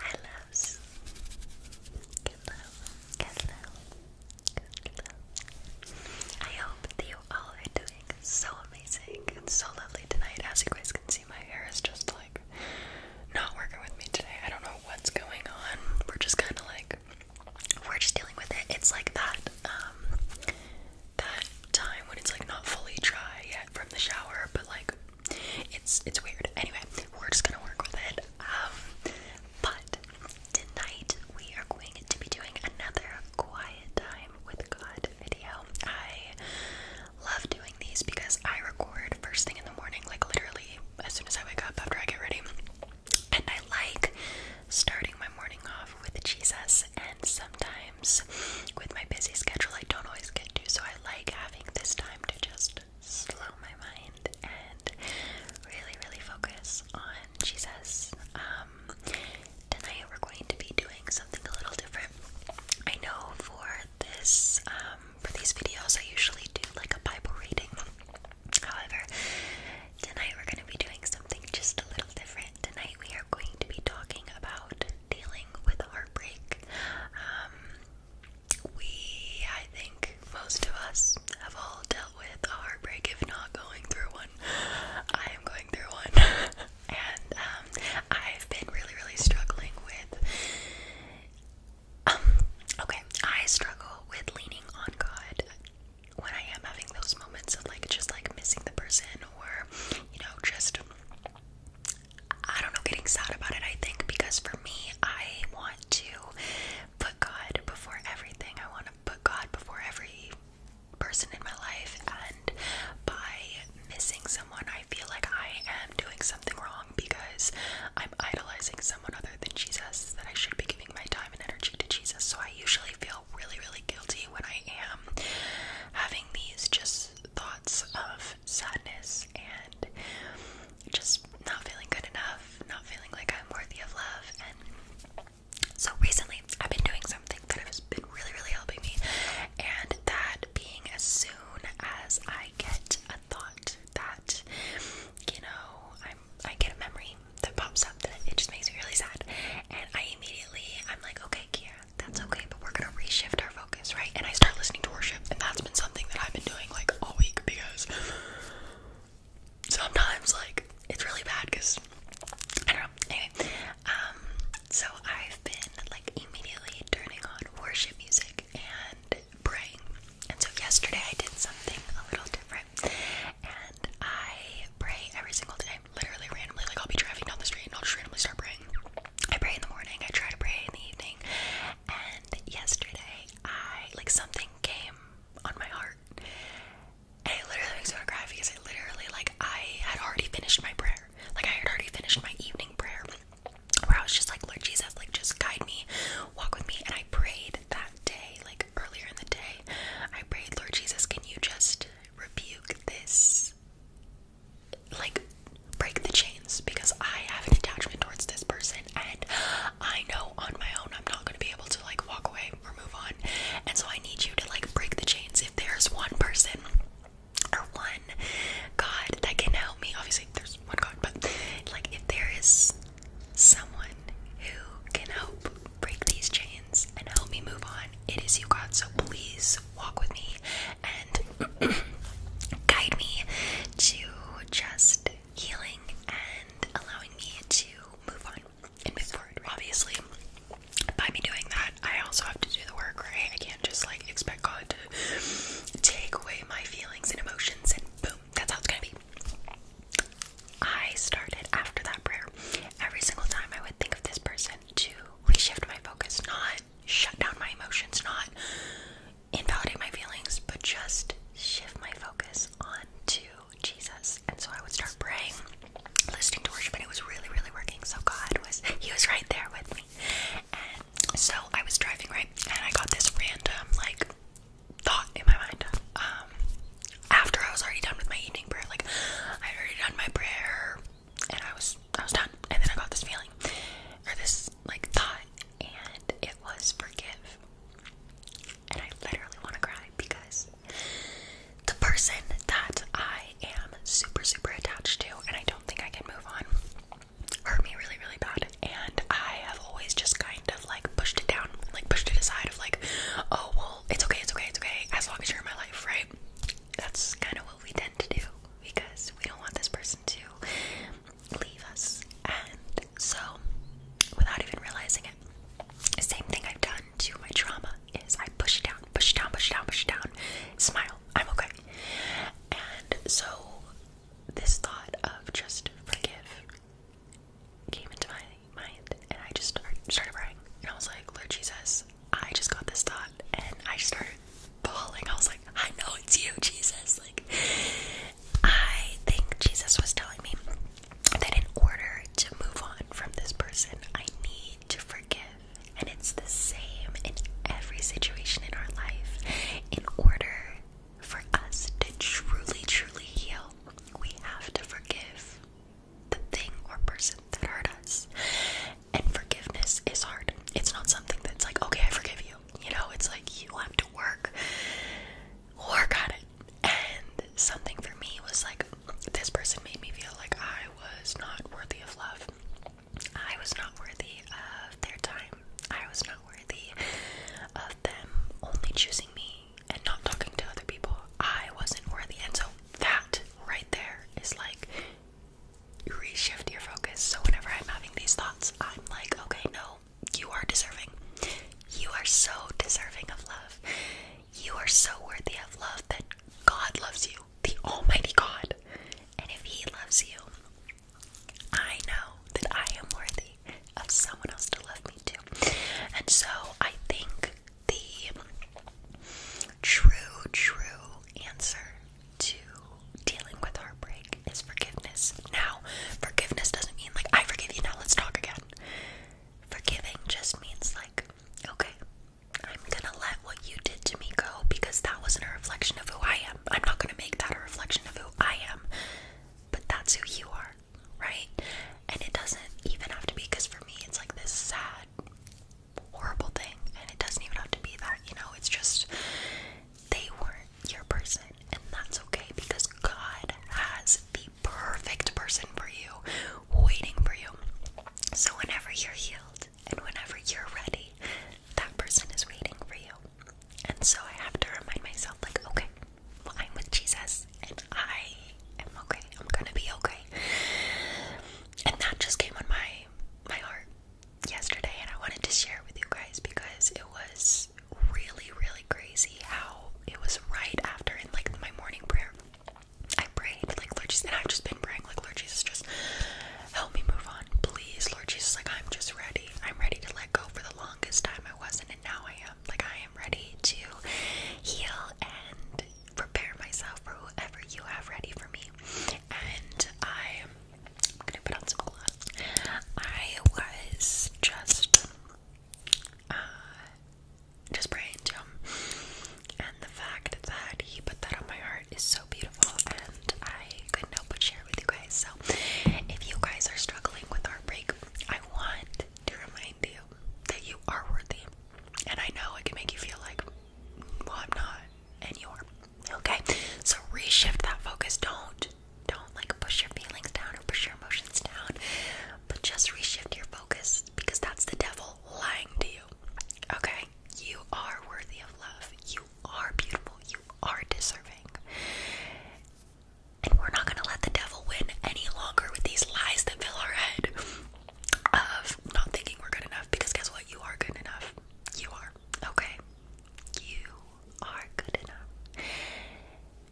I loves. Good love. I hope that you all are doing so amazing and so lovely tonight. As you guys can see, my hair is just like not working with me today. I don't know what's going on. We're just kind of like we're just dealing with it. It's like that um that time when it's like not fully dry yet from the shower, but like it's it's weird. Anyway, we're just gonna work with it. Um, but tonight we are going to be doing another quiet time with God video. I love doing these because I record first thing in the morning, like literally as soon as I wake up after I get ready. And I like starting my morning off with Jesus, and sometimes with my busy schedule I don't always get to, so I like having this time to just slow my mind and really, really focus on Jesus. Um, tonight we're going to be doing something a little different. I know for this, um, for these videos, I usually do like a Bible reading. However, tonight we're going to be doing something just a little different. Tonight we are going to be talking about dealing with heartbreak. Um, we, I think, most of us have all dealt with heartbreak, if not going through one. I am going through one, and um, I've been really, really struggling with. Um, okay, I struggle with leaning on God when I am having those moments of like just like missing the person or you know, just I don't know, getting sad about it, I think, because for me, I want to put God before everything. I want to put God before every person in my life, and by missing someone, I feel like I am doing something wrong because I'm idolizing someone other than Jesus, that I should be giving my time and energy to Jesus. So I usually feel really, really guilty when I am having these just thoughts of sadness and just not feeling good enough, not feeling like I'm worthy of love. And so recently, I've been doing something that has been really, really helping me, and that being as soon as I get a thought that you know I'm I get a memory that pops up that it just makes me really sad. And I immediately, I'm like, okay, Kiara, that's okay, but we're gonna reshift our focus, right? And I start listening to worship, and that's been something that I've been doing like all week because sometimes, like, it's really bad because I don't know. um, so I've been like immediately turning on worship music and praying. And so yesterday I did something a little different and I pray every single day. Literally randomly, like I'll be driving down the street and I'll just randomly start praying. I pray in the morning, I try to pray in the evening, and yesterday I like something came on my heart. And it literally makes me want to cry because I literally like I had already finished my prayer. Like I had already finished my evening prayer where I was just like, Lord Jesus, like just guide me, walk with me, and I prayed that day, like earlier in the day, I prayed, Lord Jesus, can you just rebuke this? Like, break the chains because I have an attachment towards this person, and I know on my own I'm not going to be able to like walk away or move on. And so I need you to like break the chains. If there's one person or one God that can help me, obviously there's one God, but like if there is someone who can help break these chains and help me move on. It is you, God, so please walk with me and guide me to just healing and allowing me to move on and move forward. Obviously, by me doing that, I also have to do the work, right? I can't just like expect God to take away my feelings and emotions and boom, that's how it's gonna be. I started after that prayer. Every single time I would think of this person to reshift my focus, not shut down my emotions, not invalidate my feelings, but just shift my focus onto Jesus. And so I would start praying, listening to worship, and it was really, really working. So God was, He was right there with me. And so I was driving, right? And I got this random, like, thought in my mind. Um, after I was already done with my evening prayer, like I had already done my prayer, and I was I was done, and then I got this feeling or this like thought, and it was forgive. And I literally want to cry because the person that I am super super attached to, and I don't think I can move on, hurt me really really bad, and I have always just kind of like pushed it down, like pushed it aside of like, oh well, it's okay, it's okay, it's okay, as long as you're in my life, right? That's kind of what we tend to do because we don't want this person to leave us. And so, without even realizing it, same thing I've done to my trauma is I push it down, push it down, push it down, push it down, smile, I'm okay. And so, this thought of just forgive came into my mind, and I just started crying. And I was like, Lord Jesus, I just got this thought, and I started calling. I was like, I know it's you, Jesus. Like, I think Jesus was telling me that in order to move on from this person, I need to forgive. And it's the same in every situation in our life. In order for us to truly, truly heal, we have to forgive the thing or person that hurt us. And forgiveness is hard. It's not something that's like, okay, I forgive you. You know, it's like you have to work, work at it. And something for me was like, this person made me feel like I was not worthy of love. I was not worthy of their time. I was not worthy of them only choosing me and not talking to other people. I wasn't worthy. And so that right there is like reshift your focus. So whenever I'm having these thoughts, I'm like, okay, no, you are deserving. You are so deserving of love. You are so worthy of love that God loves you, the Almighty God. And if He loves you, I know that I am worthy of someone else to love me too. And so I think the true, true answer to dealing with heartbreak is forgiveness. Now, forgiveness doesn't mean like, I forgive you, now let's talk again. Forgiving just means like, okay, I'm gonna let what you did to me go because that wasn't a reflection of who I am. I'm, not going to make that a reflection of who I am, but that's who you are, right? And it doesn't even have to be because for me, it's like this sad, horrible thing, and it doesn't even have to be that, you know? It's just they weren't your person, and that's okay because God has the perfect person for you waiting for you. So, whenever you're healed and whenever you're ready, that person is waiting for you. And so I have to remind myself, like, okay, well, I'm with Jesus and I am okay. I'm gonna be okay. And that just came on my my heart yesterday and I wanted to share with you guys because it was really, really crazy how it was right after in like my morning prayer. I prayed, like Lord Jesus and I've just been praying, like Lord Jesus, just help me move on please, Lord Jesus. Like, I'm just ready. I'm ready to let go for the longest time I wasn't, and now I am. Like, I am ready to heal and prepare myself for whoever you have ready for me. And I, am gonna put on some gloves. I was just, uh, just praying to him, and the fact that he put that on my heart is so beautiful. I couldn't help but share with you guys. So, if you guys are struggling with heartbreak, I want to remind you that you are worthy. And I know it can make you feel like, well, I'm not, and you are. Okay? So, reshift that focus. Don't, don't like push your feelings down or push your emotions down, but just reshift your focus because that's the devil lying to you. Okay? You are worthy of love. You you are beautiful, you are deserving. And we're not going to let the devil win any longer with these lies that fill our head of not thinking we're good enough because guess what? You are good enough. You are. Okay? You are good enough.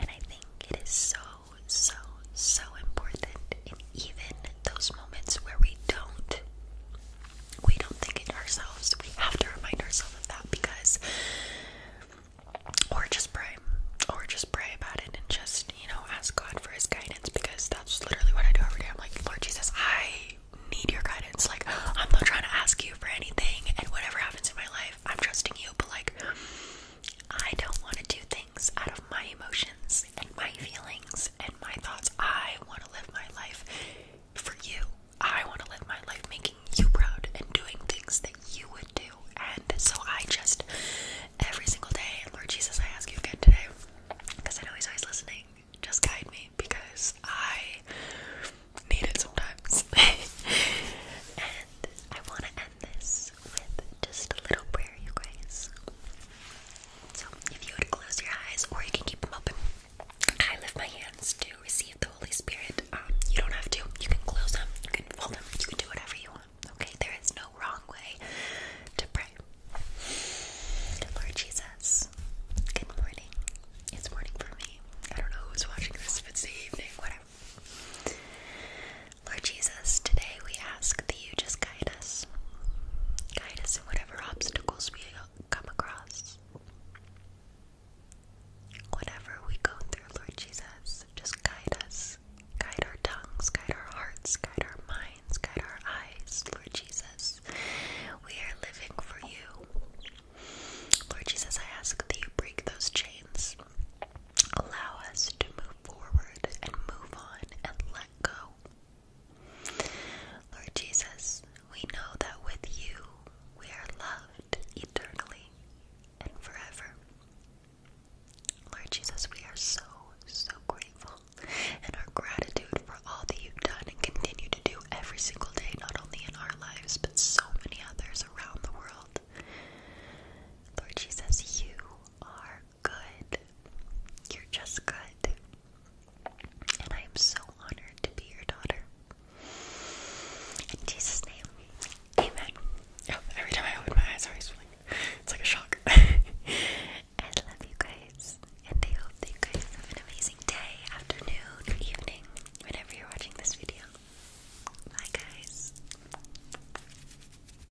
And I think it is so, so, so important in even those moments where we don't we don't think it ourselves. We have to remind ourselves of that because or just pray. Or just pray about it and just, you know, ask God for his guidance because that's literally what I do every day. I'm like, Lord Jesus, I need your guidance. Like, I'm not trying to ask you for anything and whatever happens in my life, I'm trusting you, but like I don't want to do things out of my emotions and my feelings and my thoughts. I want to live my life for you. I want to live my life making you proud and doing things that you would do. And so I just, every single day, Lord Jesus, I ask you again today, because I know He's always listening, just guide me because I need it sometimes. and I want to end this with just a little prayer, you guys. So if you would close your eyes or you can keep them open, I lift my hands to receive the Holy Spirit. Um, you don't have to. You can close them, you can fold them, you can do whatever you want. Okay, there is no wrong way to pray. Lord Jesus, good morning. It's morning for me. I don't know who's watching this, if it's evening, whatever. Lord Jesus, today we ask you just guide us. Guide us in whatever obstacles we come across. Whatever we go through, Lord Jesus, just guide us. Guide our tongues, guide our hearts, guide our minds, guide our eyes, Lord Jesus. We are living for you. Lord Jesus, I ask that you break those chains. Allow us to move forward and move on and let go Lord Jesus, we know that with you we are loved eternally and forever. Lord Jesus, we are so, so grateful and our gratitude for all that you've done and continue to do every single day, not only in our lives, but so many others around the world. Lord Jesus, you are good. You're just good. And I am so honored to be your daughter. In Jesus' name, amen. Oh, every time I open my eyes, I always like, it's like a shock. I love you guys, and I hope that you guys have an amazing day, afternoon, evening, whenever you're watching this video. Bye, guys.